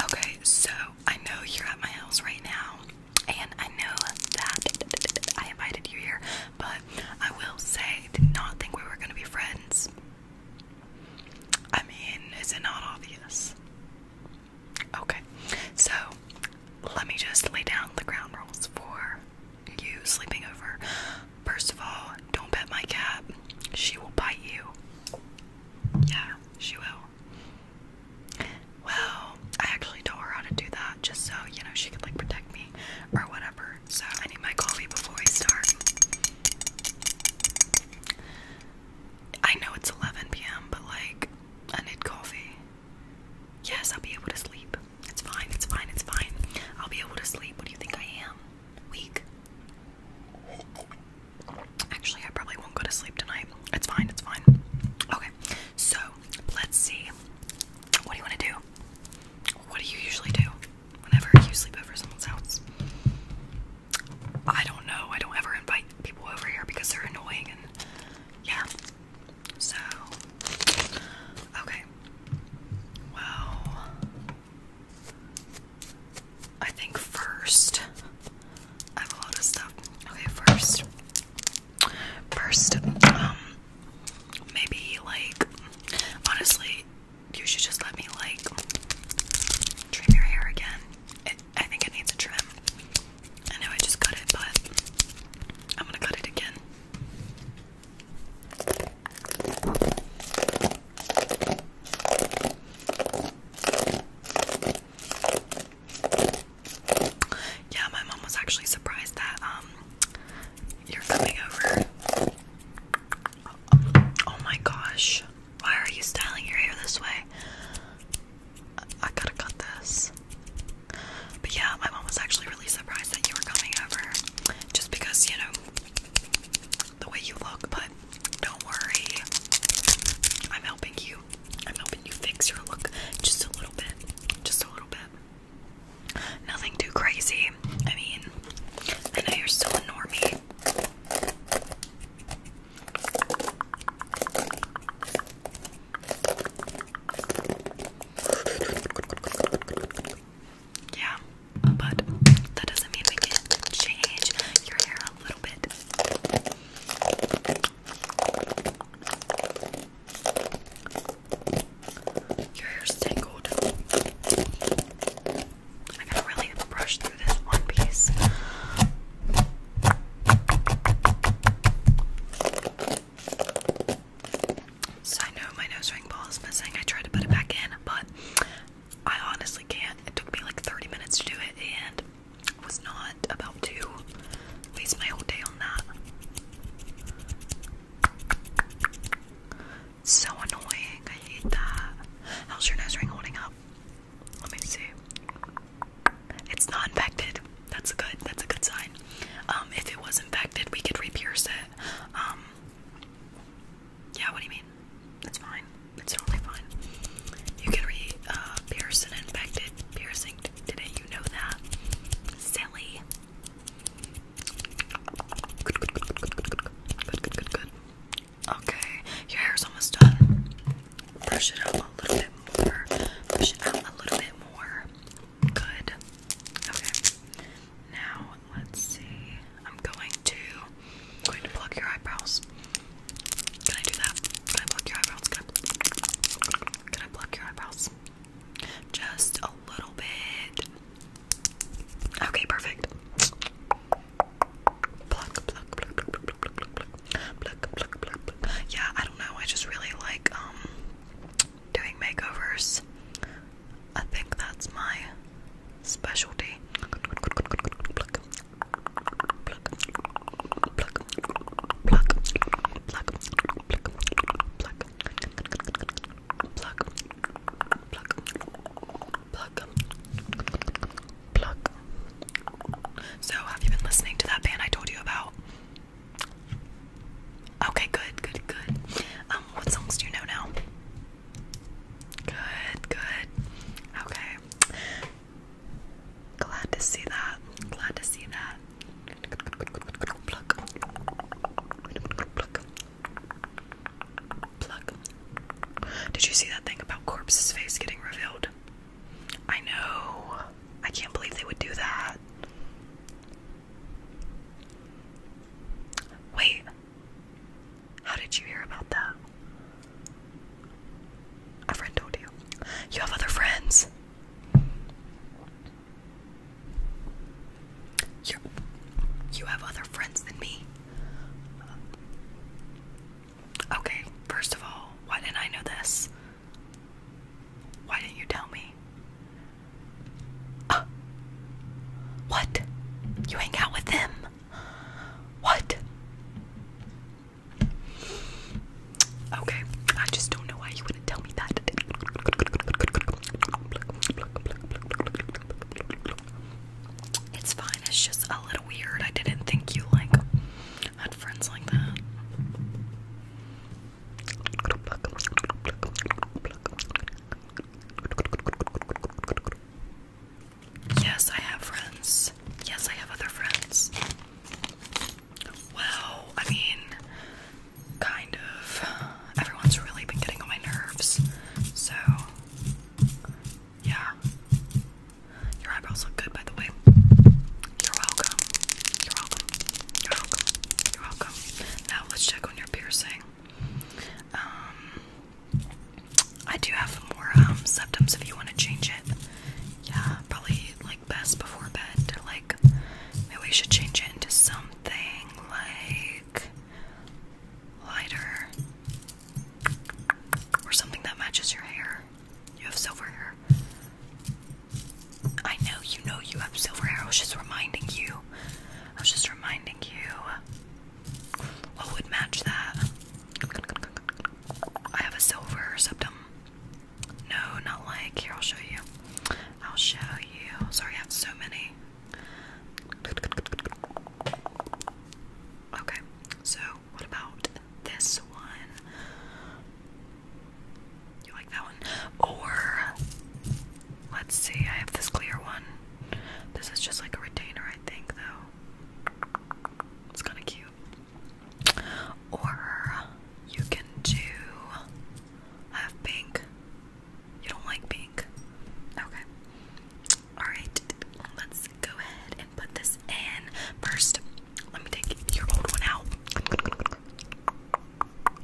Okay, so I know you're at my house right now, and I know that I invited you here, but I will say did not think we were gonna be friends. I mean, is it not obvious? Okay, so let me just lay down the ground rules for you sleeping over. First of all, don't pet my cat, she will bite you. Yeah, she will. Well, I actually told her how to do that just so, you know, she could like protect me or whatever. So I need my coffee before we start. I know it's 11 p.m., but like, I need coffee. Yes, I'll be able to sleep. It's fine, it's fine, it's fine. I'll be able to sleep. What do you think I am? Weak. Actually, I probably won't go to sleep tonight. It's fine, it's fine. Okay, so let's see. What do you want to do? What do you usually do whenever you sleep over someone's house? I don't know. I don't ever invite people over here because they're annoying yeah. So, okay. Well, I think first. I have a lot of stuff. Okay, first. First, um, maybe like, honestly, you should just let me like trim your hair again. I think it needs a trim. I know I just cut it, but I'm gonna cut it again. Yeah, my mom was actually surprised that um you're coming over. Oh my gosh. Why are you styling your hair this way? I gotta cut this. But yeah, my mom was actually really surprised that you were coming over. Just because, you know, the way you look, but don't worry. I'm helping you. I'm helping you fix your look just a little bit. Just a little bit. Nothing too crazy. I mean, I know you're still a normie. Yeah, but that doesn't mean we can change your hair you're little hair's tangled. I gotta really brush through this one piece. So I know my nose ring ball is missing. I tried to put it back in, but I honestly can't. It took me like 30 minutes to do it and was not about to waste my whole day on that. So annoying. I hate that. How's your nose ring holding up? Let me see. It's not infected. That's a good. That's a good sign. Um, if it was infected, we could re-pierce it. Um, yeah, what do you mean? That's fine. It's totally fine. You can re uh, pierce an infected piercing didn't You know that. Silly. Okay, your hair's almost done. Brush it out a little bit more. Brush it out a little bit more. Good. Okay. Now let's see. I'm going to i going to pluck your eyebrows. Can I do that? Can I pluck your eyebrows? Can I, pluck your eyebrows? Just a little bit. Okay, perfect. Pluck, pluck, pluck, pluck, pluck, pluck, pluck, pluck, pluck, pluck, pluck. Yeah, I don't know. I just really like um doing makeovers. I think that's my specialty pluck. So, have you been listening to that band I told you about? Okay, good, good, good. Um, what songs do you know now? Good, good. Okay. Glad to see that. Glad to see that. Pluck. Pluck. Pluck. Did you see that thing about Corpse's face getting revealed? I know. I can't believe they would do that. Wait. How did you hear about that? A friend told you. You have other friends. You you have other friends than me. Okay, first of all, why didn't I know this? Why didn't you tell me? Ah. what? You hang out with them? What? Okay, I just don't know why you would tell me that. It's fine, it's just a little weird. I didn't think you like had friends like that. Yes, I have friends. Yes, I have other friends. Well, I mean, kind of. Everyone's really been getting on my nerves. So, yeah. Your eyebrows look good, by the way. You're welcome. You're welcome. You're welcome. You're welcome. Now, let's check on your piercing. Um, I do have more um, symptoms. if you want to change it. Yeah, probably like best before bed. Like maybe we should change it into something like lighter or something that matches your hair. You have silver hair. I know you know you have silver hair. I was just reminding you. I was just reminding you. What would match that? I have a silver septum. No, not like. Here, I'll show you. I'll show you. Sorry, I have so many. Okay, so what about this one? You like that one? Or, let's see, I have this clear one. This is just like a retainer, I think, though. It's kind of cute. Or you can do. have pink. You don't like pink. Okay. Alright, let's go ahead and put this in. First, let me take your old one out.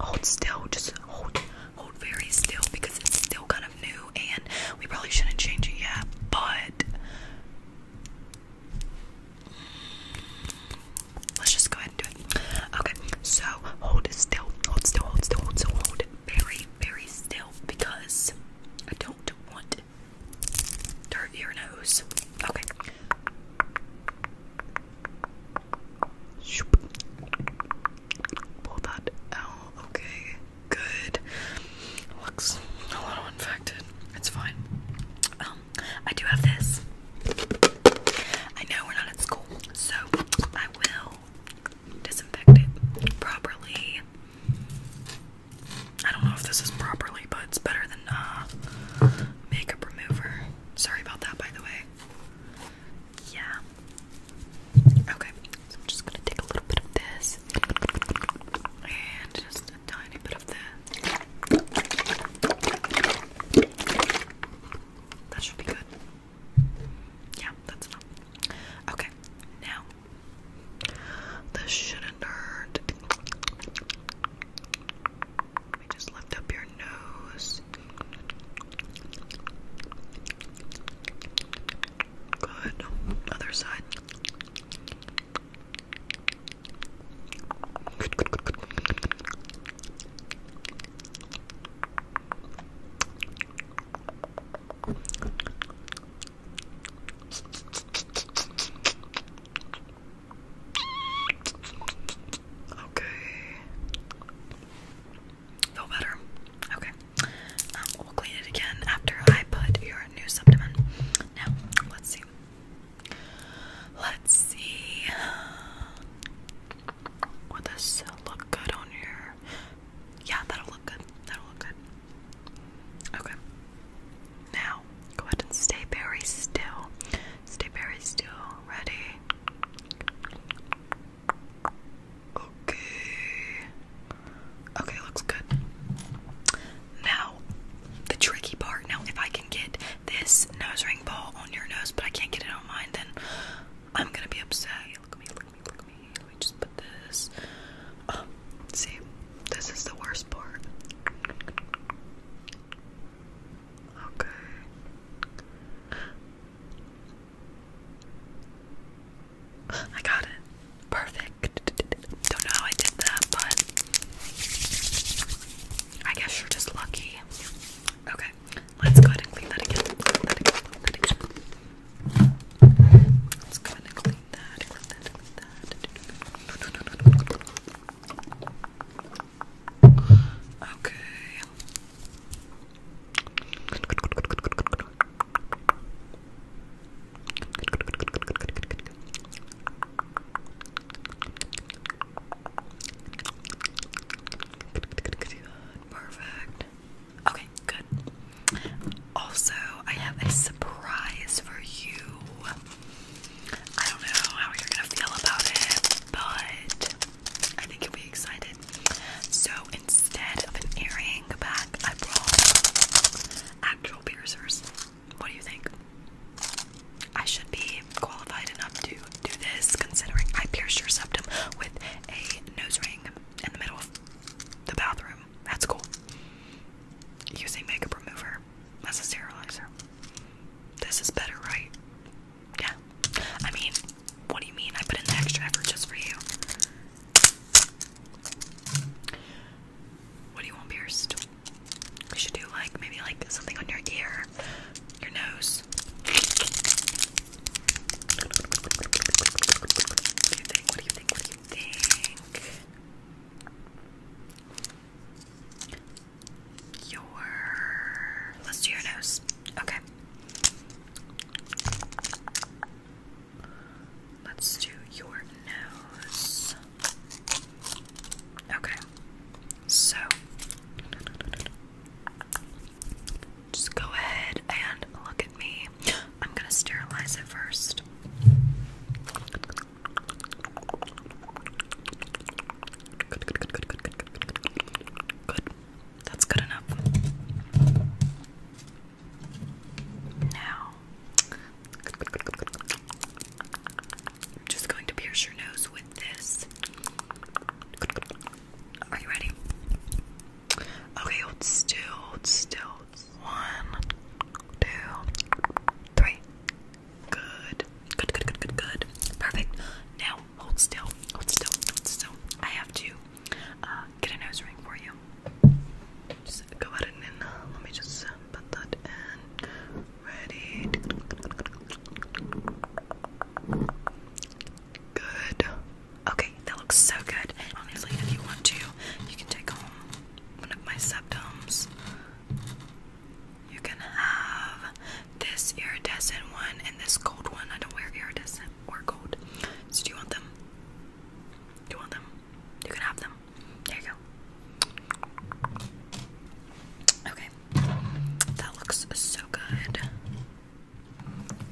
Hold still, just hold hold very still because it's still kind of new and we probably shouldn't change it yet, but let's just go ahead and do it. Okay, so hold still, hold still, hold still, hold still, hold very, very still because I don't want dirt your nose. Okay. Pull that out. Okay good. Looks a little infected. It's fine. Um, I do have this. I know we're not at school, so I will disinfect it properly. I don't know if this is properly, but it's better than uh, makeup remover. Sorry about that, by the way. Yeah. Okay, so I'm just gonna take a little bit of this and just a tiny bit of that. That should be good. Yeah, that's enough. Okay, now this shouldn't hurt. Let just lift up your nose. Good. Other side. Okay. Feel better. Okay. Um, we'll clean it again after I put your new supplement. Now, let's see. Let's see. Will this look good on your. Yeah, that'll look good. That'll look good. Okay. Now, go ahead and stay very still. Stay very still. Ready? Okay. Okay, looks good. Now, the tricky part. Now, if I can get this nose ring ball on your nose, but I can't get it on mine, then I'm gonna be upset. Look at me, look at me, look at me. just put this. Um, see, this is the worst part. Okay. I got it. Perfect. Don't know how I did that, but I guess you're just lucky. Okay, let's go ahead and clean that again. Let's go ahead and Clean that. Okay. Perfect. Okay, good. Also, I have a surprise for you. I don't know how you're gonna feel about it, but I think you'll be excited. So, in instead of an earring back, I brought actual piercers. What do you think? I should be qualified enough to do this considering I pierced your septum with a nose ring in the middle of the bathroom. That's cool. Using makeup remover as a sterilizer. This is better, right? Yeah. I mean, what do you mean? I put in the extra effort just for you. What do you want pierced? We should do like maybe like something on your ear, your nose. What do you think? What do you think? What do you think? Your let's do your nose. Okay. Let's do your nose. Okay. So just go ahead and look at me. I'm going to sterilize it first. Good, good, good, good, good, good, good, good, good. That's good enough. Now, I'm just going to pierce your nose with this. Are you ready? Okay, hold still, hold still. One, two, three. Good. Good, good, good, good, good. Perfect. Now, hold still, hold still, hold still. I have to uh, get a nose ring for you. Uh, let me just uh, put that in. Ready? Good. Okay, that looks so good. Honestly, if you want to, you can take home one of my septums. You can have this iridescent one and this gold one. I don't wear iridescent or cold. So do you want them? Do you want them? You can have them. There you go. Okay. That looks so good.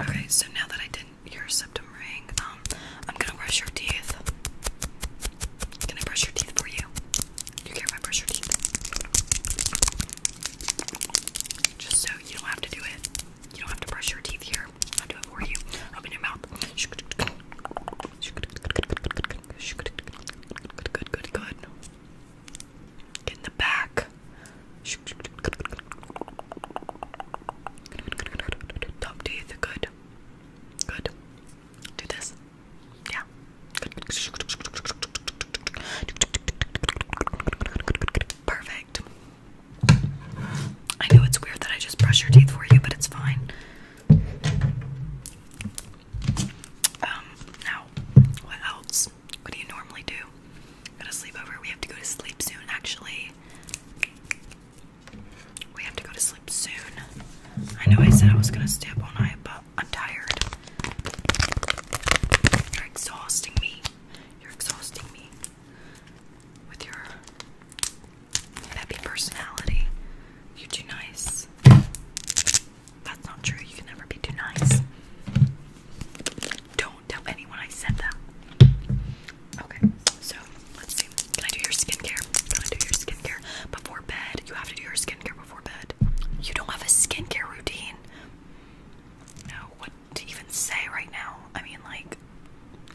Okay, so now that I did your septum ring, um, I'm gonna brush your teeth. Can I brush your teeth for you? Do you care if I brush your teeth? Just so you don't have to do it. You don't have to brush your teeth here. I'll do it for you. Open your mouth. Good, good, good, good. Get in the back. Top teeth, good. Good. Do this. Yeah. Perfect. I know it's weird that I just brush your teeth for you, but it's fine. Um, now, what else? What do you normally do? Got a sleepover. We have to go to sleep soon, actually. We have to go to sleep soon. I know I said I was gonna stay up all night, but I'm tired. You're exhausting me. You're exhausting me with your happy personality. You're too nice. That's not true. You can never be too nice. Don't tell anyone I said that. Okay, so let's see. Can I do your skincare? Can I do your skincare before bed? You have to do your skincare before bed. You don't have a skincare routine. No, to even say right now. I mean, like,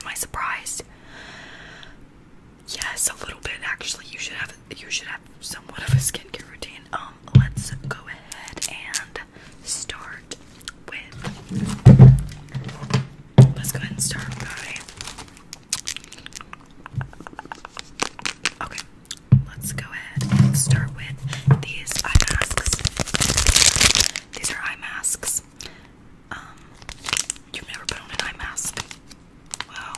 am I surprised? Yes, a little bit actually. You should have you should have somewhat of a skincare routine. Um, let's go ahead and start with. Let's go ahead and start by. Okay, let's go ahead and start with these eye masks. These are eye masks. Um, you've never put on an eye mask. Wow.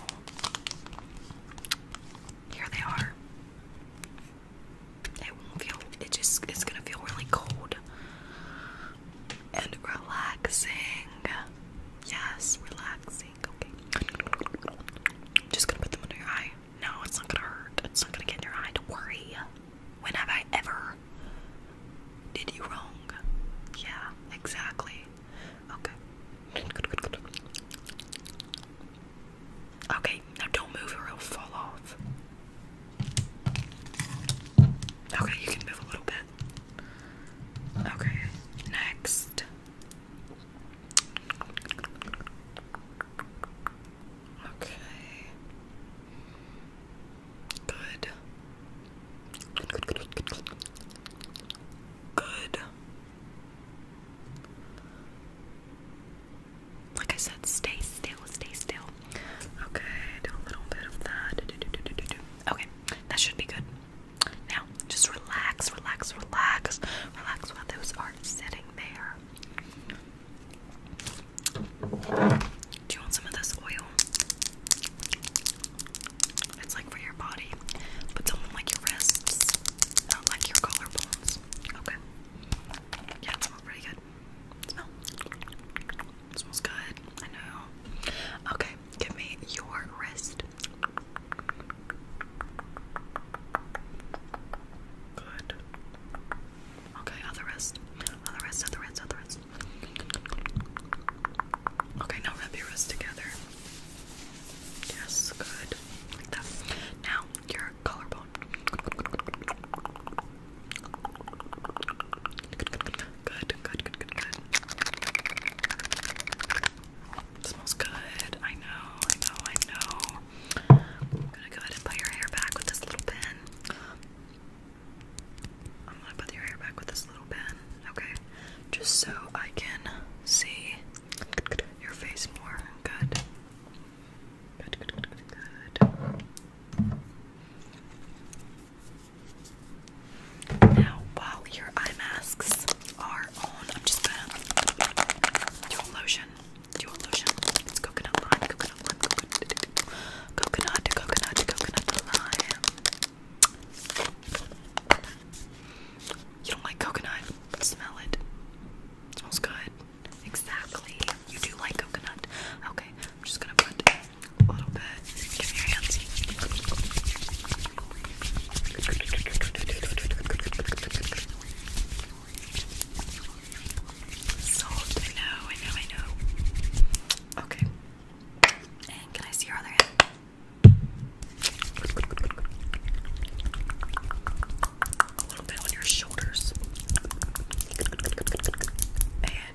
Here they are. It won't feel it just it's gonna feel really cold and relaxing. Yes, relaxing. Okay. Just gonna put them under your eye. No, it's not gonna hurt. It's not gonna get in your eye, don't worry. When have I ever did you wrong? Yeah, exactly. Okay. Okay, now don't move or it'll fall off. Okay, you can move a little bit. Okay, next. Okay. Good. Good, good, good, good, good. Like I said, stay still, stay still. Okay, do a little bit of that. Okay, that should be good. Now, just relax, relax, relax, relax while those are sitting there. Do you want some of this oil? It's like for your body, but do like your wrists, not like your collarbones. Okay. Yeah, it smells pretty good. smell. smells good. I know. Okay, give me your wrist. Good. Okay, other wrist. Other wrist, other wrist, other wrist. Okay, now rub your wrist together. Yes, good. Like that. Now, your collarbone. Good, good, good, good, good, good, good, good. Smells good. I know, I know, I know. I'm gonna go ahead and put your hair back with this little pin. I'm gonna put your hair back with this little pen, okay? Just so I can see your face more. Good. Good, good, good, good, Now, while your eye masks are on, I'm just gonna do a lotion. Do lotion. It's coconut lime, coconut, coconut, coconut You don't like coconut? Smell it. Smells good. Exactly. You do like coconut. Okay, I'm just gonna put a little bit. Salt, I know, I know, I know. Okay. And can I see your other hand? A little bit on your shoulders. And a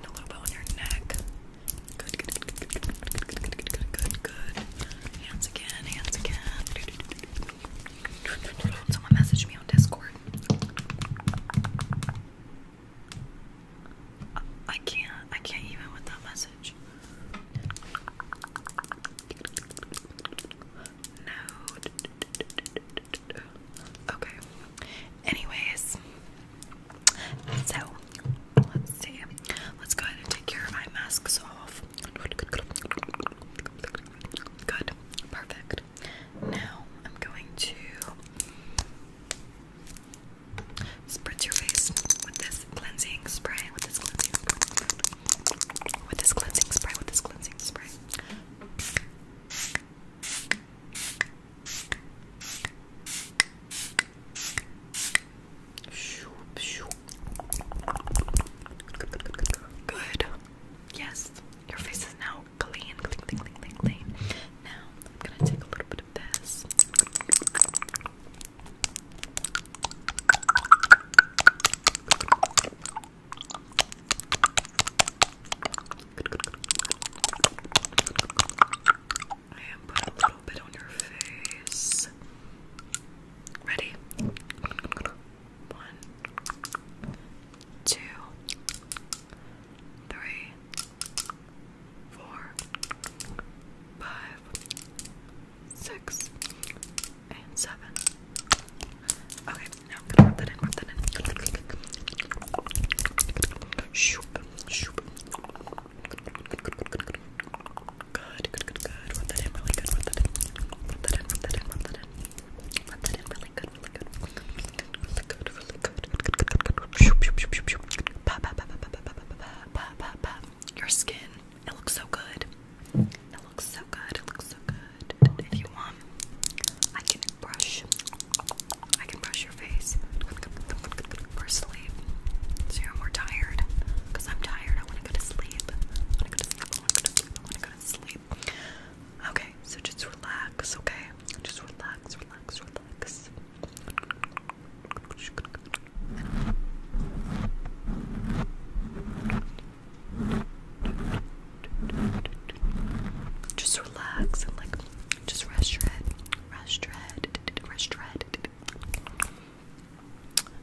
little bit on your neck. Good, good, good, good, good, good, good, Hands again, hands again. Someone messaged me on Discord. I can't. I can't even with that message. No. Okay. Anyways, so let's see. Let's go ahead and take your eye masks off. Good. Perfect. Now I'm going to spritz your face with this cleansing spray. With this cleansing spray. With this cleansing spray. With this cleansing spray. Good. Yes, your face is now clean, clean, clean, clean, Now I'm gonna take a little bit of this. And put a little bit on your face. Ready? One, two, three, four, five, six, and seven. Okay, now I'm gonna that in, rub that in. Shoop, shoop. Good, good, that in really that in. Rub that in, rub that in, rub that in. Rub that in really good. Your skin, it looks so good. It looks so good. It looks so good. If you want, I can brush. I can brush your face for sleep. So you're more tired. Cause I'm tired. I want to go to sleep. I want to go to sleep sleep. Okay, so just relax, okay? Just relax, relax, relax. Just relax and like just rest your head, rest your head, rest your head.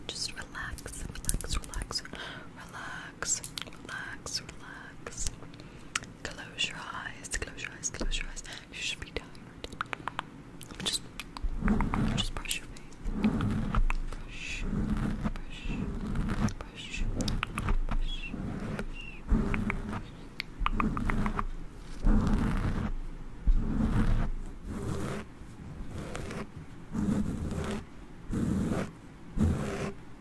Just relax, relax, relax, relax, relax, relax. Close your eyes. Close your eyes. Close your eyes. You should be tired. Let me just, just brush your face. brush, brush, brush, brush, brush